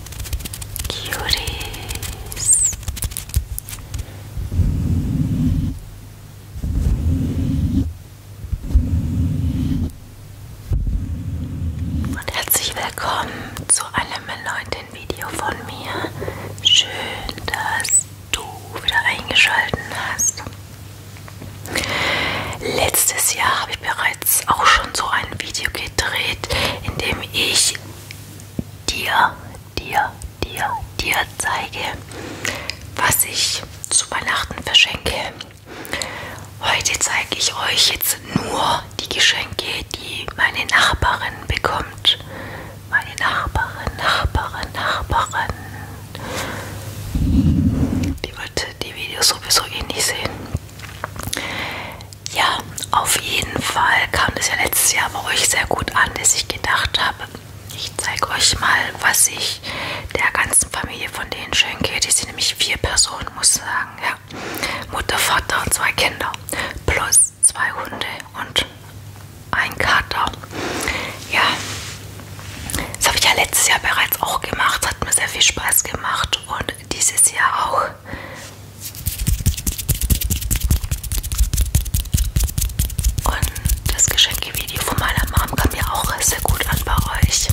Cuties. Und herzlich willkommen zu einem neuen Video von mir. Schön, dass du wieder eingeschaltet hast. Letztes Jahr habe ich bereits auch schon so ein Video gedreht, indem ich dir, dir, dir, dir zeige, was ich zu Weihnachten verschenke. Heute zeige ich euch jetzt nur die Geschenke, die meine Nachbarin bekommt. Meine Nachbarin, Nachbarin, Nachbarin. Die wird die Videos sowieso eh nicht sehen. Ja, auf jeden Fall kam das ja letztes Jahr bei euch sehr gut an, dass ich gedacht habe, ich zeige euch mal, was ich der ganzen Familie von denen schenke. Die sind nämlich vier Personen, muss ich sagen. Ja. Mutter, Vater und zwei Kinder. Plus zwei Hunde und ein Kater. Ja, das habe ich ja letztes Jahr bereits auch gemacht. Hat mir sehr viel Spaß gemacht. Und dieses Jahr auch. Und das Geschenkevideo von meiner Mom kam ja auch sehr gut an bei euch.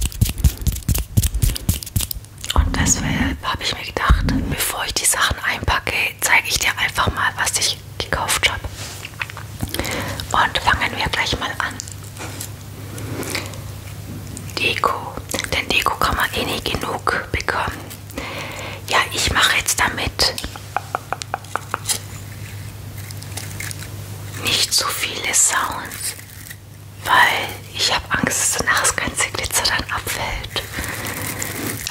Und deshalb habe ich mir gedacht, bevor ich die Sachen einpacke, zeige ich dir einfach mal, was ich gekauft habe. Und fangen wir gleich mal an. Deko denn Deko kann man eh nicht genug bekommen. Ja, ich mache jetzt damit nicht so viele Sounds, weil ich habe Angst, dass danach das ganze Glitzer dann abfällt.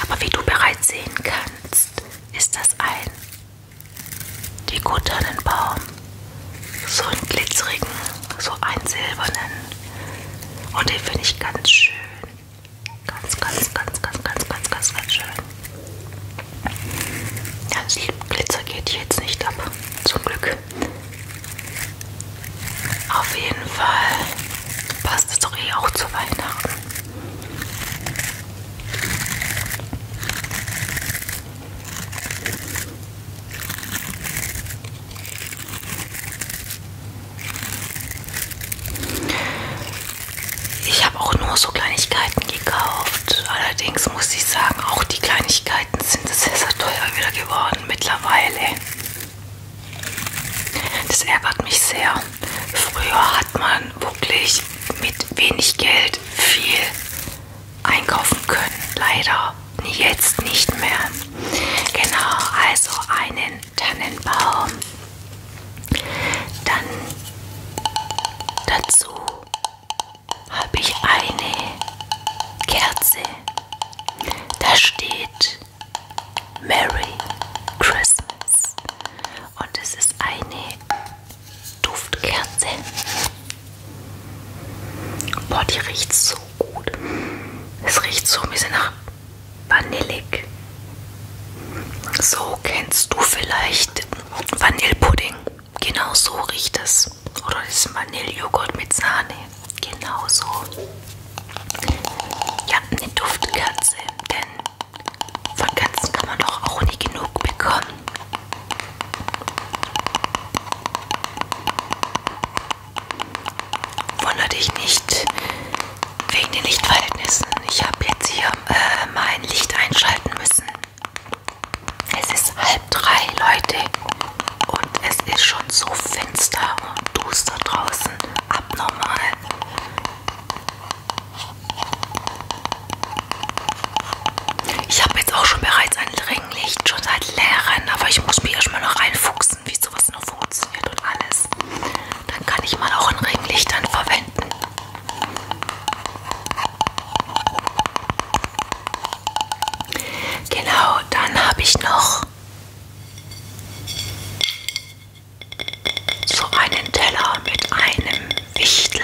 Aber wie du bereits sehen kannst, ist das ein Deko-Tannenbaum. So einen glitzerigen so einen silbernen. Und den finde ich ganz schön. Ganz, ganz, ganz, ganz, ganz, ganz, ganz, ganz schön. Das Glitzer geht jetzt nicht ab. Zum Glück. Auf jeden Fall passt es doch eh auch zu Weihnachten. Ich habe auch nur so Kleinigkeiten gekauft. Allerdings muss ich sagen, auch die Kleinigkeiten sind sehr, sehr teuer wieder geworden mittlerweile. Das ärgert mich sehr. Früher hat man wirklich mit wenig Geld viel einkaufen können. Leider jetzt nicht mehr. Genau, also einen Tannenbaum. Dann dazu habe ich eine Kerze. Da steht Merry Christmas. Und es ist eine Duftkerze. Boah, die riecht so so gut. Es riecht so ein bisschen nach vanillig. So kennst du vielleicht Vanillepudding. Genau so riecht es. Oder diesen Vanillejoghurt mit Sahne. Genau so. Ja, eine Duftkerze, denn von Kerzen kann man doch auch nie genug bekommen. Wunder dich nicht wegen den Lichtverhältnissen. Ich habe jetzt hier äh, mein Licht einschalten müssen. Es ist halb drei, Leute. Und es ist schon so finster und duster draußen. Abnormal. Ich habe jetzt auch schon bereits ein Ringlicht, schon seit Lehrern, aber ich muss mich erstmal noch einfuchsen, wie sowas das nur funktioniert und alles. Dann kann ich mal auch ein Ringlichtern verwenden. Genau, dann habe ich noch so einen Teller mit einem Wichtel.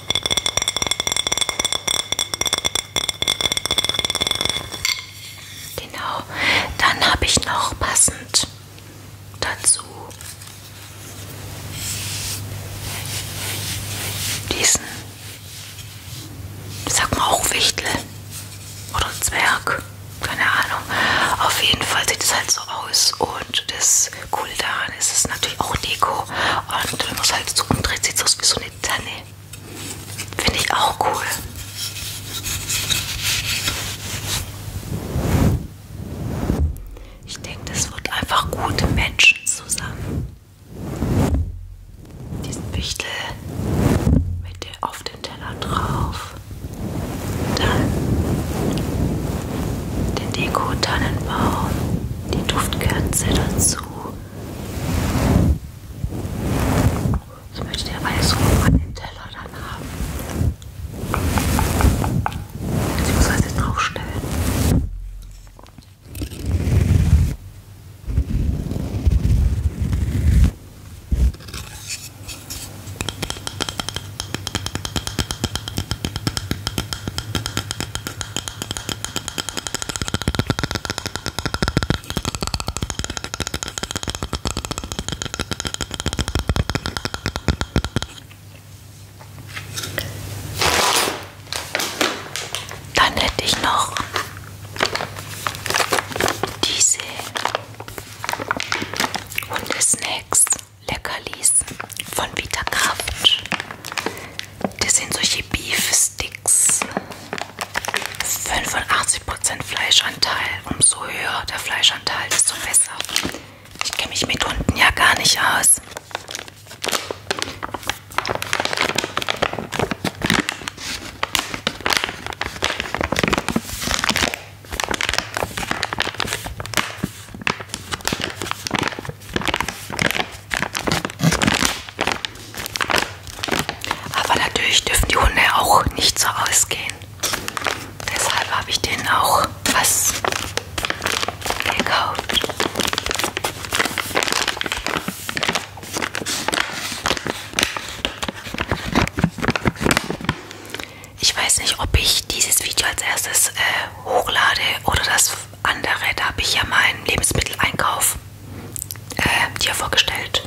Genau, dann habe ich noch passend dazu diesen, sag mal auch Wichtel oder Zwerg, keine Ahnung. Auf jeden Fall sieht es halt so aus und das das Coole daran ist, es ist natürlich auch Deko. Und wenn man es halt so umdreht, sieht es aus wie so eine Tanne. Finde ich auch cool. Ich denke, das wird einfach gut matchen zusammen. Diesen Wichtel mit der auf den Teller drauf. Dann den Deko-Tannenbaum die Duftkerze dazu. Ich möchte der Weißrot an den Teller dann haben. Ich muss das jetzt draufstellen. Dann hätte ich noch diese Hundesnacks. Leckerlis von Vita Kraft. Das sind solche Beef Sticks. 85% Fleischanteil. Umso höher der Fleischanteil, desto besser. Ich kenne mich mit Hunden ja gar nicht aus. Aber natürlich dürfen die Hunde auch nicht so ausgehen. Deshalb habe ich denen auch was gekauft. Ich weiß nicht, ob ich dieses Video als erstes äh, hochlade oder das andere, da habe ich ja meinen Lebensmitteleinkauf äh, dir vorgestellt,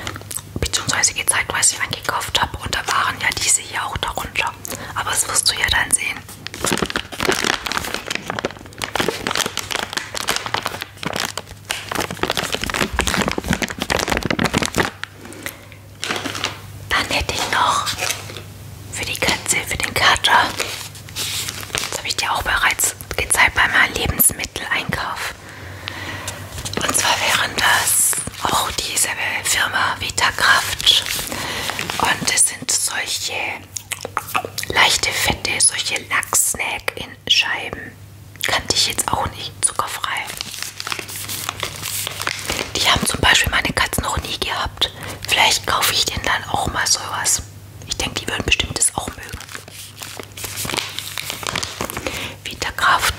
beziehungsweise gezeigt, was ich eingekauft habe. Und da waren ja diese hier auch darunter. Aber das wirst du ja dann sehen. Dann hätte ich noch für die Katze, für den Kater. Das habe ich dir auch bereits gezeigt bei meinem Lebensmitteleinkauf. Und zwar wären das auch diese Firma Vitakraft. Und es sind solche leichte Fette, solche Lachs-Snack in Scheiben. Kannte ich jetzt auch nicht, zuckerfrei. Die haben zum Beispiel meine Katze noch nie gehabt habt. Vielleicht kaufe ich denen dann auch mal sowas. Ich denke, die würden bestimmt das auch mögen. Vitakraft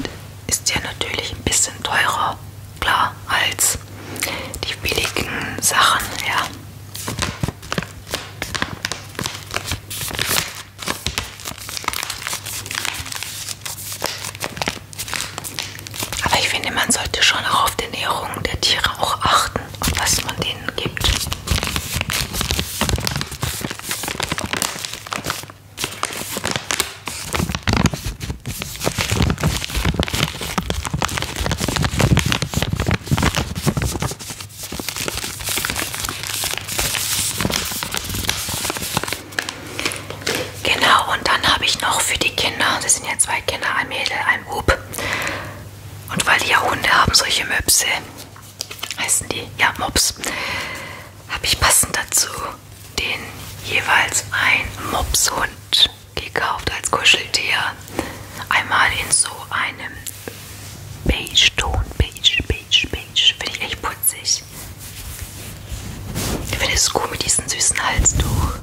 ist ja natürlich ein bisschen teurer, klar, als die billigen Sachen, ja. Aber ich finde, man sollte schon auch auf die Ernährung der Tiere auch achten und was man denen gibt. Genau, und dann habe ich noch für die Kinder, das sind ja zwei Kinder, ein Mädel, ein Bub, und weil die ja Hunde haben, solche Möpse, heißen die ja Mops, habe ich passend dazu den jeweils ein Mopshund gekauft als Kuscheltier. Einmal in so einem Beige-Ton, beige, beige, beige. Finde ich echt putzig. Ich finde es cool mit diesem süßen Halstuch.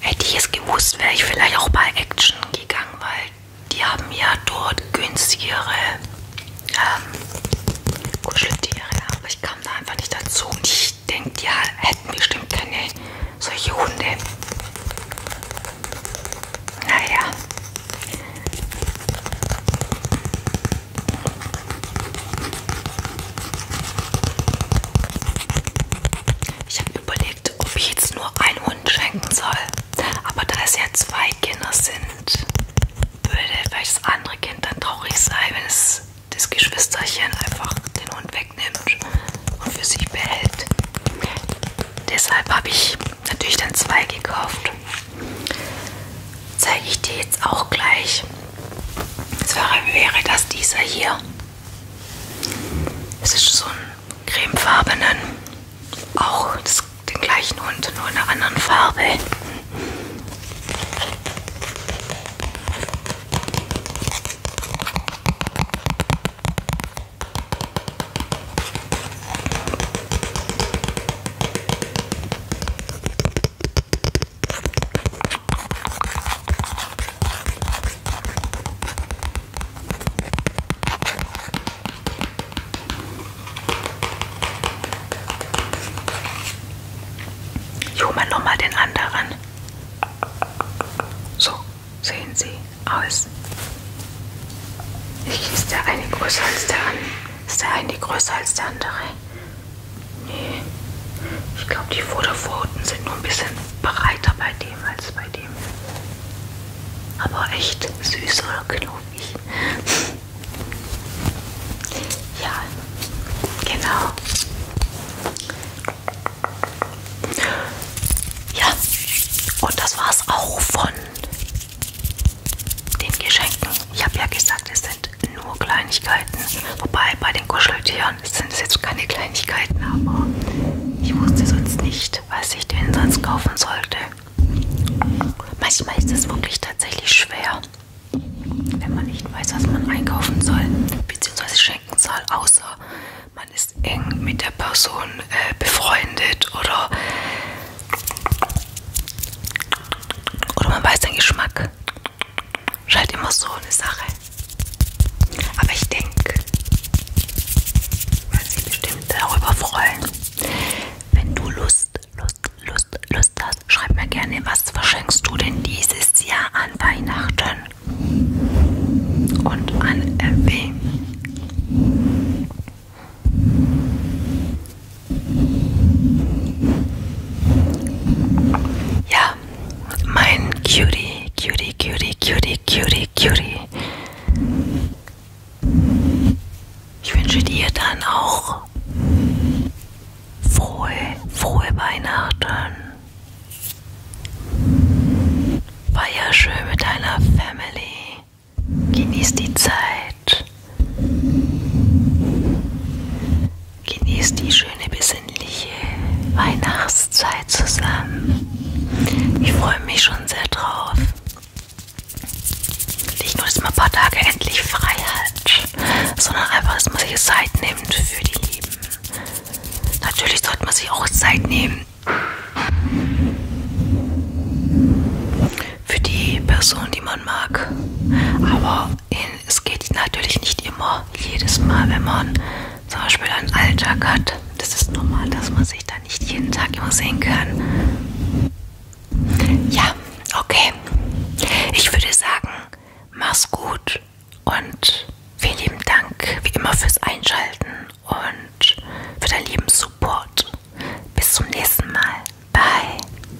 Hätte ich es gewusst, wäre ich vielleicht auch bei Action gegangen, weil die haben ja dort günstigere ähm, Kuscheltiere, aber ich kam da einfach nicht dazu. Und ich denke, die hätten bestimmt keine solche Hunde. Naja. Ich habe überlegt, ob ich jetzt nur einen Hund schenken soll. Aber da es ja zwei Kinder sind, würde vielleicht das andere Kind dann traurig sein, wenn es das Geschwisterchen einfach den Hund wegnimmt und für sich behält. Deshalb habe ich natürlich dann zwei gekauft. Zeige ich dir jetzt auch gleich. Das wäre das dieser hier. Es ist so ein cremefarbenen, auch das, den gleichen Hund, nur in einer anderen Farbe. Ich hole mal nochmal den anderen. So sehen sie aus. Ist der eine größer als der andere? Ist der eine größer als der andere? Nee. Ich glaube, die Vorderpfoten sind nur ein bisschen breiter bei dem als bei dem. Aber echt süß oder knuffig. ja, genau. Ja, und das war's auch von den Geschenken. Ich habe ja gesagt, es sind nur Kleinigkeiten. Wobei bei den Kuscheltieren sind es jetzt keine Kleinigkeiten, aber ich wusste sonst nicht, was ich denn sonst kaufen sollte. Manchmal ist es wirklich tatsächlich schwer, wenn man nicht weiß, was man einkaufen soll bzw. schenken soll, außer man ist eng mit der Person äh, befreundet oder, oder man weiß den Geschmack. Scheint halt immer so eine Sache. Aber ich denke, weil sie bestimmt darüber freuen. Wenn du Lust, Lust, Lust, Lust hast, schreib mir gerne, was verschenkst du denn dieses Jahr an Weihnachten? Und an äh, wen? Ja, mein Cutie, Cutie, Cutie, Cutie, Cutie, Cutie. Ich wünsche dir dann auch frohe, frohe Weihnachten. Feier schön mit deiner Family. Genieß die Zeit. Genießt die schöne besinnliche Weihnachtszeit zusammen. Ich freue mich schon sehr drauf. Nicht nur, dass man ein paar Tage endlich frei hat, sondern einfach, dass man sich Zeit nimmt für die Lieben. Natürlich sollte man sich auch Zeit nehmen für die Person, die man mag. Aber es geht natürlich nicht immer jedes Mal, wenn man zum Beispiel einen Alltag hat. Das ist normal, dass man sich da nicht jeden Tag immer sehen kann. Ja, okay. Ich würde sagen, mach's gut und vielen lieben Dank wie immer fürs Einschalten und für deinen lieben Support. Bis zum nächsten Mal. Bye.